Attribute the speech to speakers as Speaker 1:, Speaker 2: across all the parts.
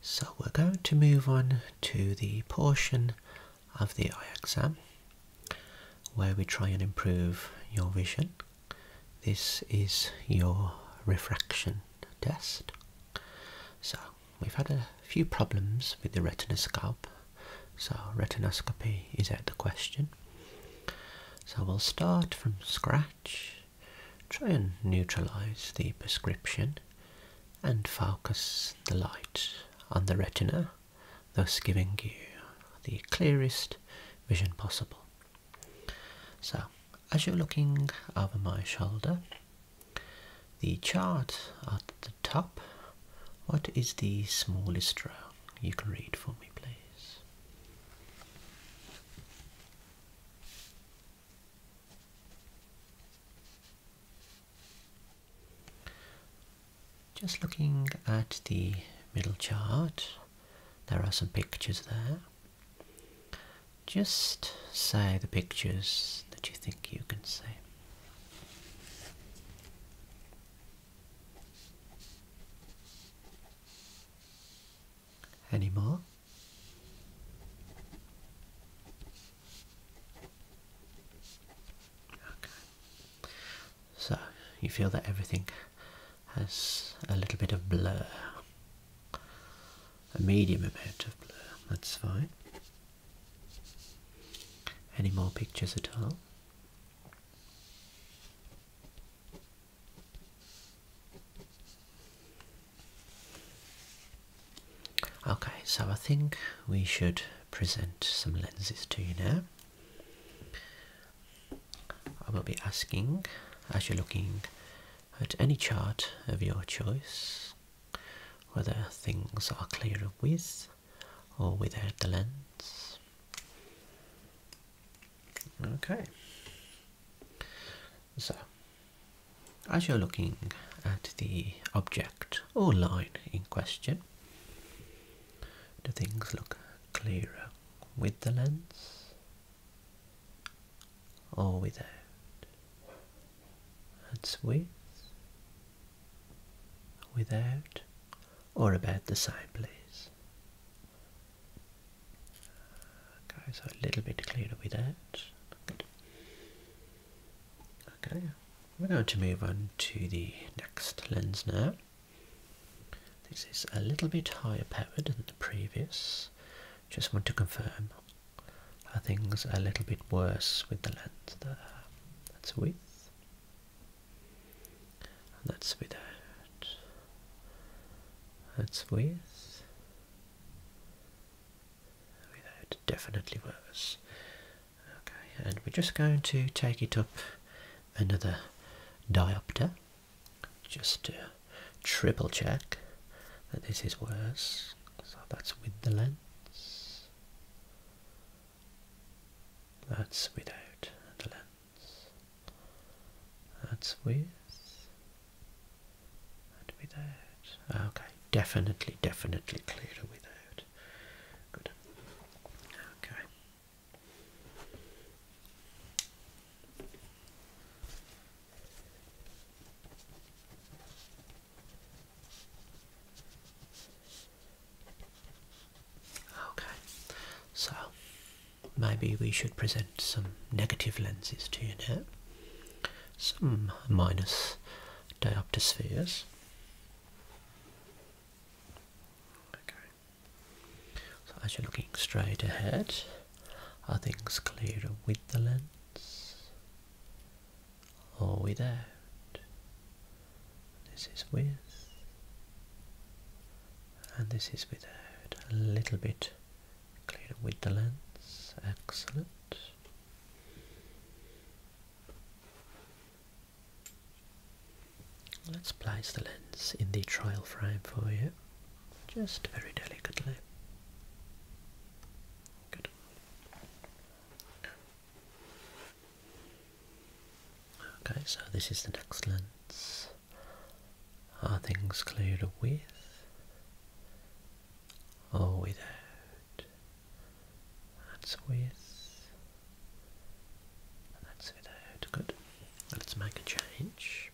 Speaker 1: So we're going to move on to the portion of the eye exam where we try and improve your vision. This is your refraction test. So we've had a few problems with the retinoscope, so retinoscopy is out the question. So we'll start from scratch Try and neutralize the prescription and focus the light on the retina, thus giving you the clearest vision possible. So, as you're looking over my shoulder, the chart at the top, what is the smallest row? You can read for me, please. Just looking at the middle chart, there are some pictures there. Just say the pictures that you think you can say anymore. Okay. So you feel that everything has a little bit of blur, a medium amount of blur, that's fine. Any more pictures at all? Okay, so I think we should present some lenses to you now. I will be asking, as you're looking at any chart of your choice, whether things are clearer with or without the lens. Okay. So, as you're looking at the object or line in question, do things look clearer with the lens or without? That's with, without, or about the same, please. Okay, so a little bit cleaner with that. Good. Okay, we're going to move on to the next lens now. This is a little bit higher powered than the previous. Just want to confirm are things a little bit worse with the lens there. That's with. And that's with a that's with. I definitely worse. Okay, and we're just going to take it up another diopter just to triple check that this is worse. So that's with the lens. That's without the lens. That's with and without. Ah, okay, definitely, definitely clearer without. Good. Okay. Okay, so maybe we should present some negative lenses to you now. Some minus diopterspheres. Okay. So as you're looking straight ahead, are things clearer with the lens or without? This is with and this is without a little bit clear with the lens, excellent. Let's place the lens in the trial frame for you, just very delicately. Good. Okay, so this is the next lens. Are things cleared with or without? That's with. That's without. Good. Let's make a change.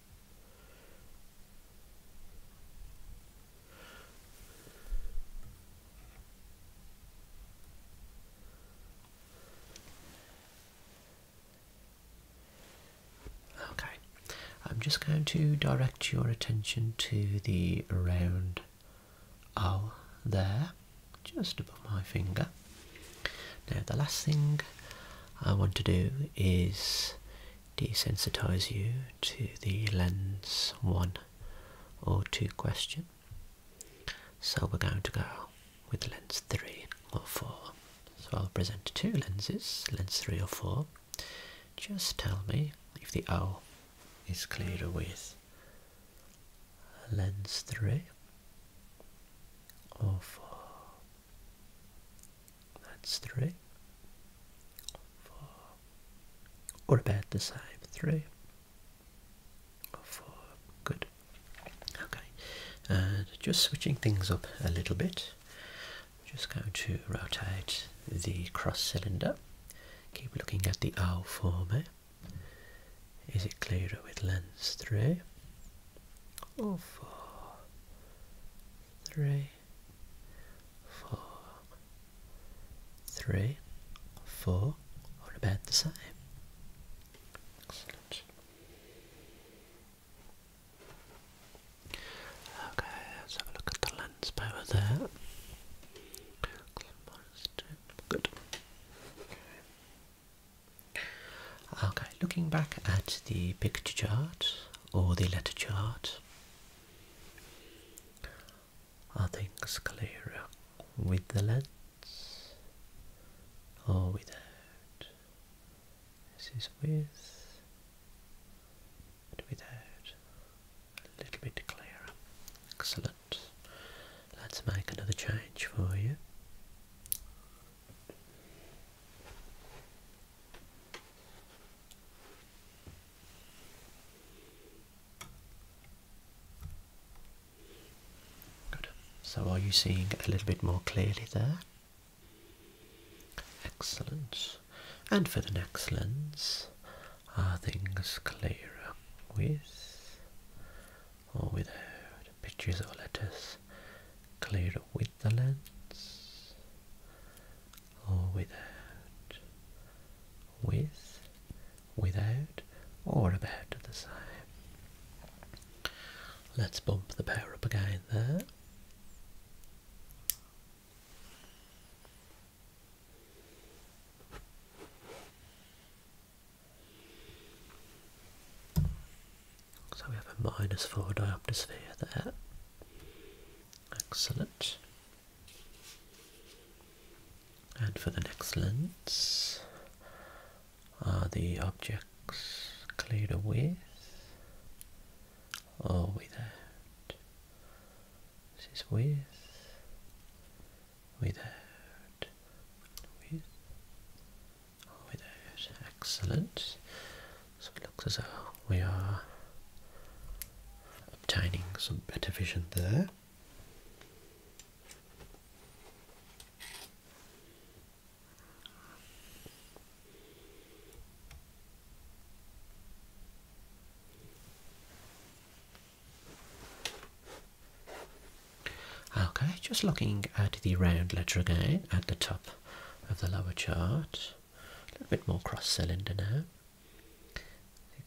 Speaker 1: Okay, I'm just going to direct your attention to the round O there, just above my finger. Now, the last thing I want to do is desensitize you to the lens one or two question. So we're going to go with lens 3 or 4. So I'll present two lenses, lens 3 or 4. Just tell me if the owl is clearer with lens 3 or 4. That's 3, 4, or about the same, 3 or 4. Good. Okay, uh, just switching things up a little bit, just going to rotate the cross cylinder. Keep looking at the O form. Is it clearer with lens three or four? Three, four, three, four, or about the same. Excellent. Okay, let's have a look at the lens power there. Good. Okay, looking back at the picture chart or the letter chart, are things clearer with the lens or without? This is with and without. A little bit clearer. Excellent. Let's make another change for you. Good. So are you seeing a little bit more clearly there? Excellent. And for the next lens, are things clearer with or without? Pictures or letters clearer with the lens or without? With, without, or about the same? Let's bump the power up again there. So we have a minus 4 diopter sphere there. Excellent. And for the next lens, are the objects cleared with or without? This is with, without, with, without. Excellent. So it looks as though we are obtaining some better vision there. Okay, just looking at the round letter again at the top of the lower chart. A little bit more cross cylinder now.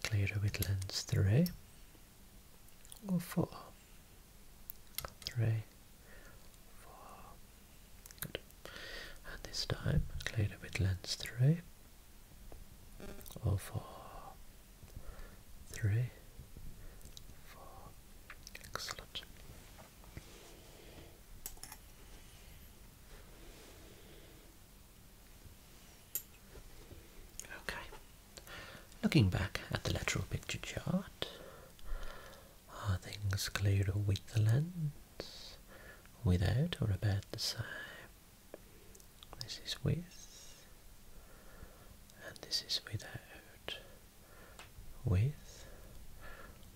Speaker 1: Clearer with lens 3 or 4 three, four. And this time, clean it with lens three, or four, three, four. Excellent. Okay, looking back at the lateral picture chart, are things clearer with the lens, without or about the same? This is with, and this is without. With,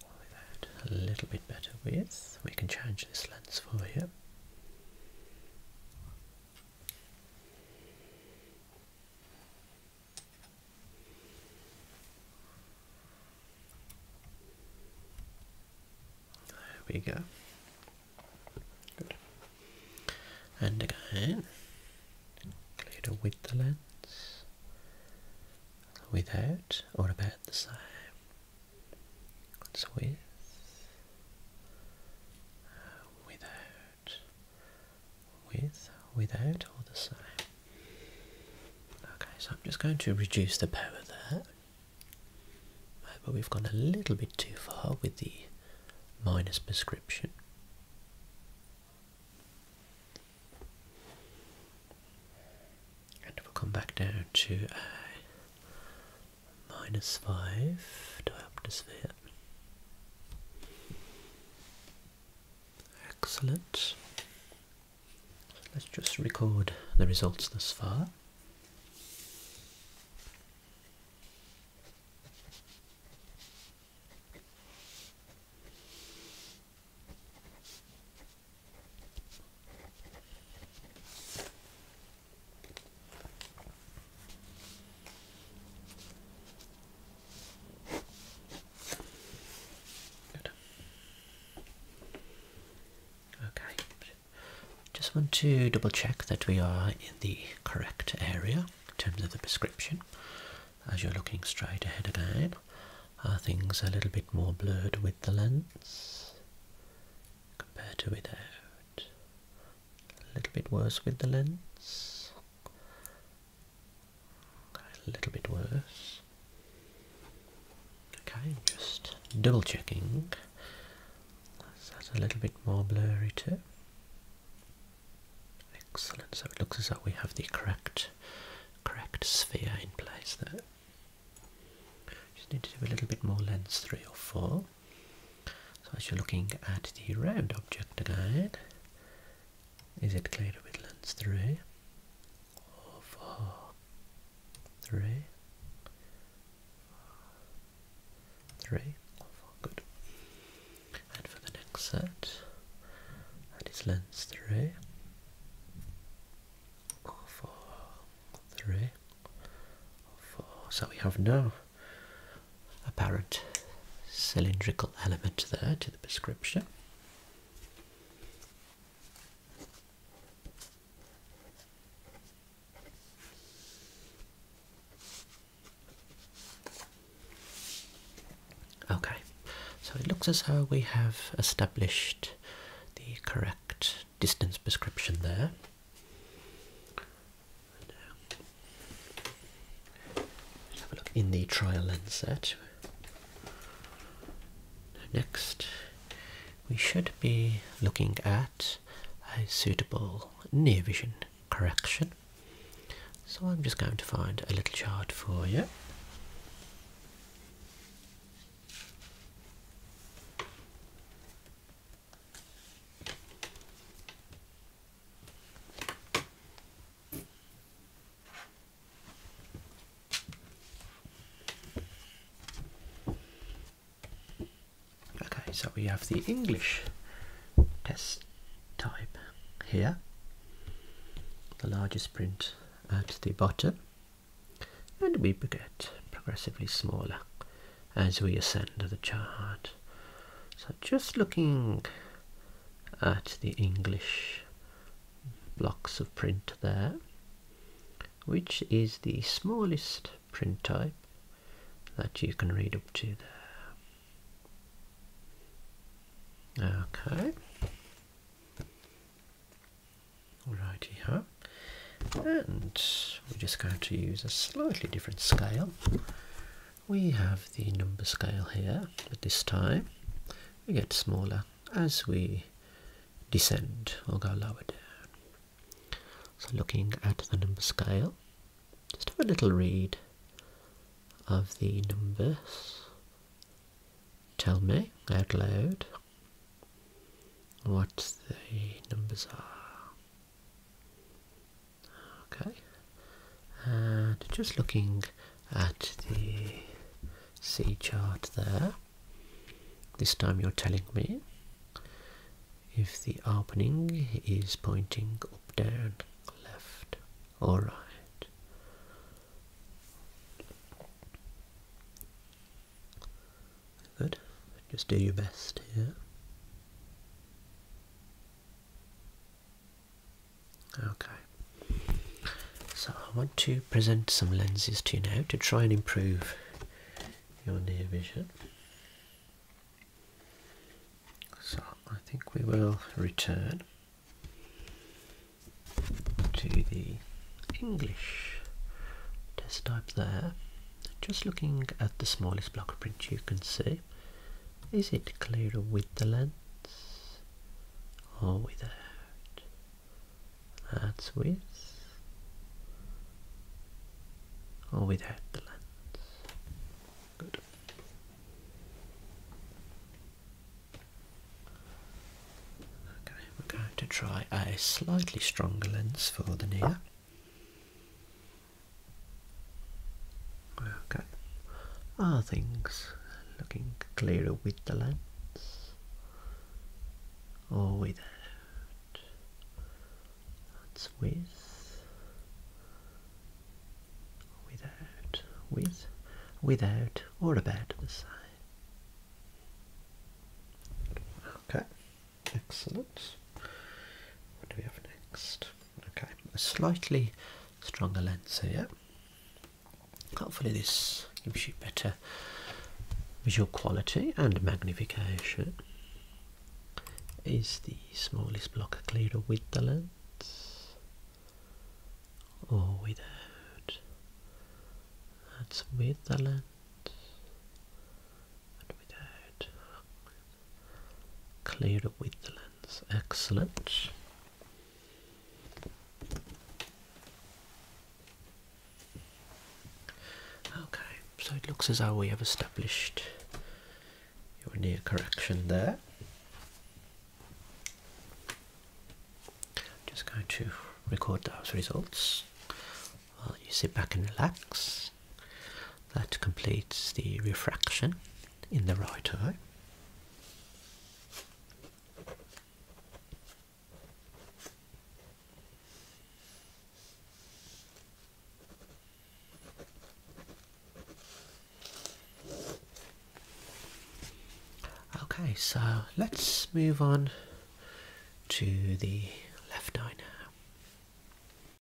Speaker 1: without. A little bit better with. We can change this lens for you. There we go. And again, with the lens, without or about the same. with, without with, without, or the same. Okay, so I'm just going to reduce the power there. But we've gone a little bit too far with the minus prescription. And we'll come back down to a minus 5 diopter here. Excellent. Let's just record the results thus far. Okay. Just want to double check that we are in the correct area in terms of the prescription. As you're looking straight ahead again, are things a little bit more blurred with the lens compared to without? A little bit worse with the lens a little bit worse. Okay, just double checking. Is that a little bit more blurry too? Excellent. So it looks as though we have the correct, correct sphere in place there. Just need to do a little bit more lens three or four. So as you're looking at the red object again, is it clear to Midlands 3 or 4? 3? 3 or 4, good. And for the next set, that is lens 3 or 4, ah, 3 or 4. Ah, so we have now apparent cylindrical element there to the prescription. Okay, so it looks as though we have established the correct distance prescription there have a look in the trial lens set. Next, we should be looking at a suitable near vision correction. So I'm just going to find a little chart for you. Okay, so we have the English test type here, the largest print at the bottom, and we get progressively smaller as we ascend the chart. So just looking at the English blocks of print there, which is the smallest print type that you can read up to there. Okay. Righty ho. And we're just going to use a slightly different scale we have the number scale here, but this time we get smaller as we descend or go lower down. So looking at the number scale, just have a little read of the numbers. Tell me out loud what the numbers are. Okay, and just looking at the C chart there, this time you're telling me if the opening is pointing up, down, left, or right. Good, just do your best here. Okay, so I want to present some lenses to you now to try and improve your near vision. So I think we will return to the English test type there. Just looking at the smallest block of print you can see, is it clearer with the lens or without? That's with or without the lens. Okay, we're going to try a slightly stronger lens for the near. Okay. Other things looking clearer with the lens or without? That's with. Without. With. Without or about the side. Okay. Excellent. What do we have next? Okay, a slightly stronger lens here. Hopefully this gives you better visual quality and magnification. Is the smallest block clearer with the lens or without? That's with the lens and without clearer with the lens. Excellent. Okay, so it looks as though we have established your near correction there. just going to record those results while you sit back and relax. That completes the refraction in the right eye. Okay, so let's move on to the left eye now.